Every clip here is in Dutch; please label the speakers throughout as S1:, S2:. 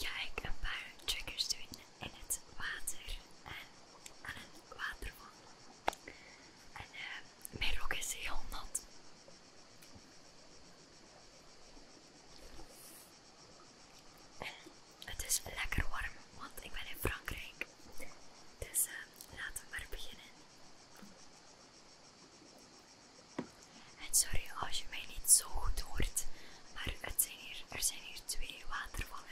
S1: ga ik een paar trekkers doen in het water en aan een waterval. En eh, mijn rok is heel nat. En het is lekker warm, want ik ben in Frankrijk. Dus eh, laten we maar beginnen. En sorry als je mij niet zo goed hoort, maar het zijn hier, er zijn hier twee watervallen.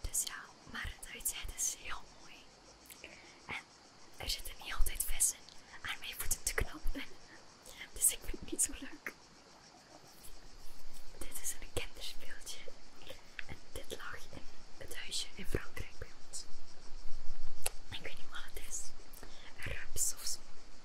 S1: Dus ja, maar het uitzicht is heel mooi. En er zitten niet altijd vissen aan mijn voeten te knopen. Dus ik vind het niet zo leuk. Dit is een kinderspeeltje. En dit lag in het huisje in Frankrijk bij ons. Ik weet niet wat het is. Rups of zo.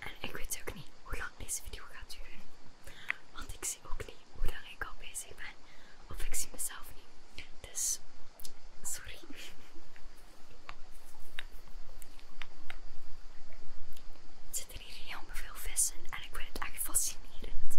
S1: En ik weet ook niet hoe lang deze video gaat duren. Want ik zie ook niet hoe lang ik al bezig ben. Of ik zie mezelf niet. Dus, sorry. Er zitten hier heel veel vissen en ik vind het echt fascinerend.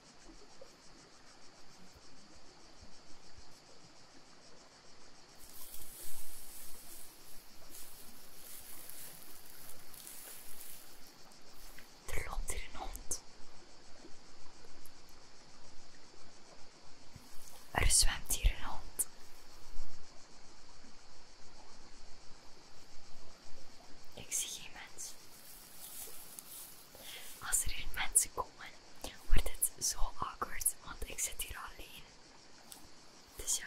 S1: Er loopt hier een hond. Er zwemt hier een hond. Ik zie geen mens. Als er geen mensen komen, wordt het zo awkward, want ik zit hier alleen. Dus ja.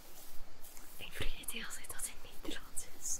S1: Ik vergeet heel altijd dat het Nederlands is.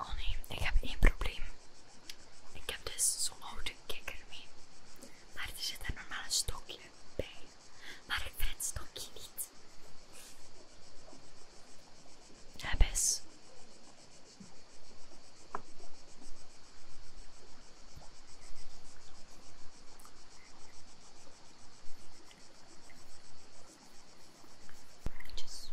S1: Oh nee, ik heb één probleem. Ik heb dus zo'n oude kikker mee. Maar er zit er normaal een stokje bij. Maar ik vind het stokje niet. Heb eens. Just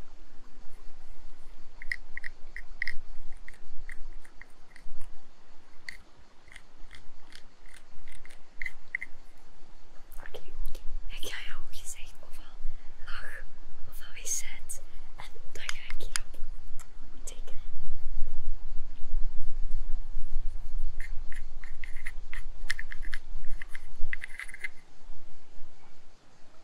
S1: Oké, ik ga jou gezegd ofwel lach ofwel zet en dan ga ik hierop tekenen.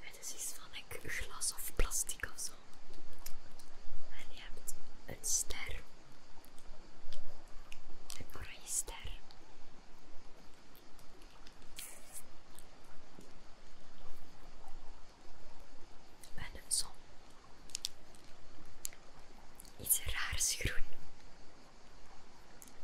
S1: Het is van ik, glas of plastic of zo. En je hebt een ster. Een oranje ster. En een zon. is raars groen.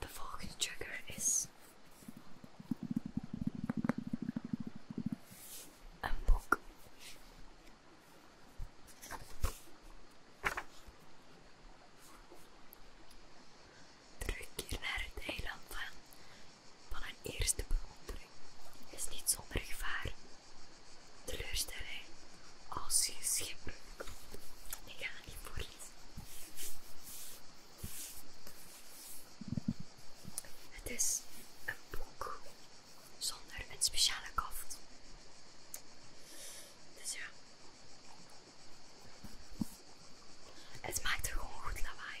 S1: The fourth trigger is a book. Terugkeer naar het eiland van, van een eerste bewondering is niet zonder gevaar. Teleurstelling als je schip. Ik ga niet voorlezen. Het is een boek zonder een speciale kaft. Dus ja. Het maakt gewoon goed lawaai.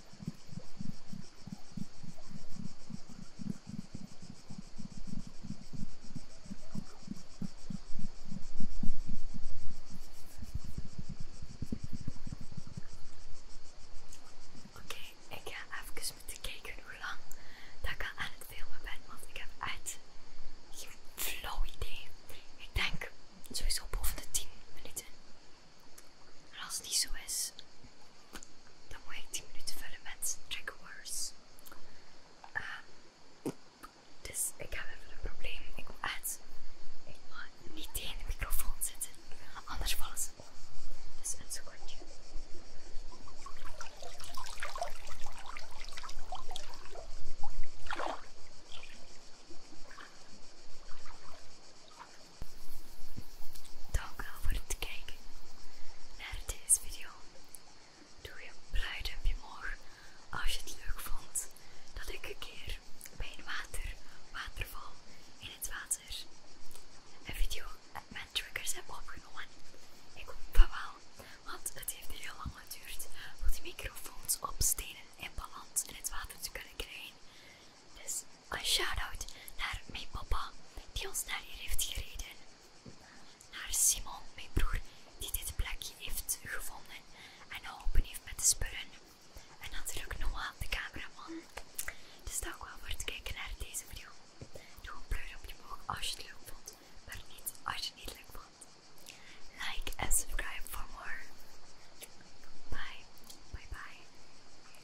S1: Oké, ik ga even moeten kijken hoe lang dat ik aan het filmen ben, want ik heb echt geen flow idee. Ik denk sowieso boven de 10 minuten. En als het niet zo is, dan moet ik 10 minuten vullen met track words. dus ik heb even een probleem. Ik moet uit ik mag niet tegen de microfoon zitten, anders vallen ze Dus een secondje. Dank wel voor het kijken naar deze video. Doe je blauw duimpje omhoog als je het leuk vond dat ik een keer bij een water, waterval in het water een video met triggers heb opgenomen. Ik hoop dat want het heeft heel lang geduurd om die microfoons op stenen en balans in het water te kunnen krijgen. Dus een shout-out naar mijn papa die ons naar hier heeft gereden. Naar Simon, mijn broer, die dit plekje heeft gevonden en open heeft met de spullen. En natuurlijk Noah, de cameraman. Dus dank wel voor het kijken naar deze video. Doe een pleur op je boog als je het leuk vond, maar niet als je niet leuk vond. Like en subscribe voor more. Bye, bye, bye.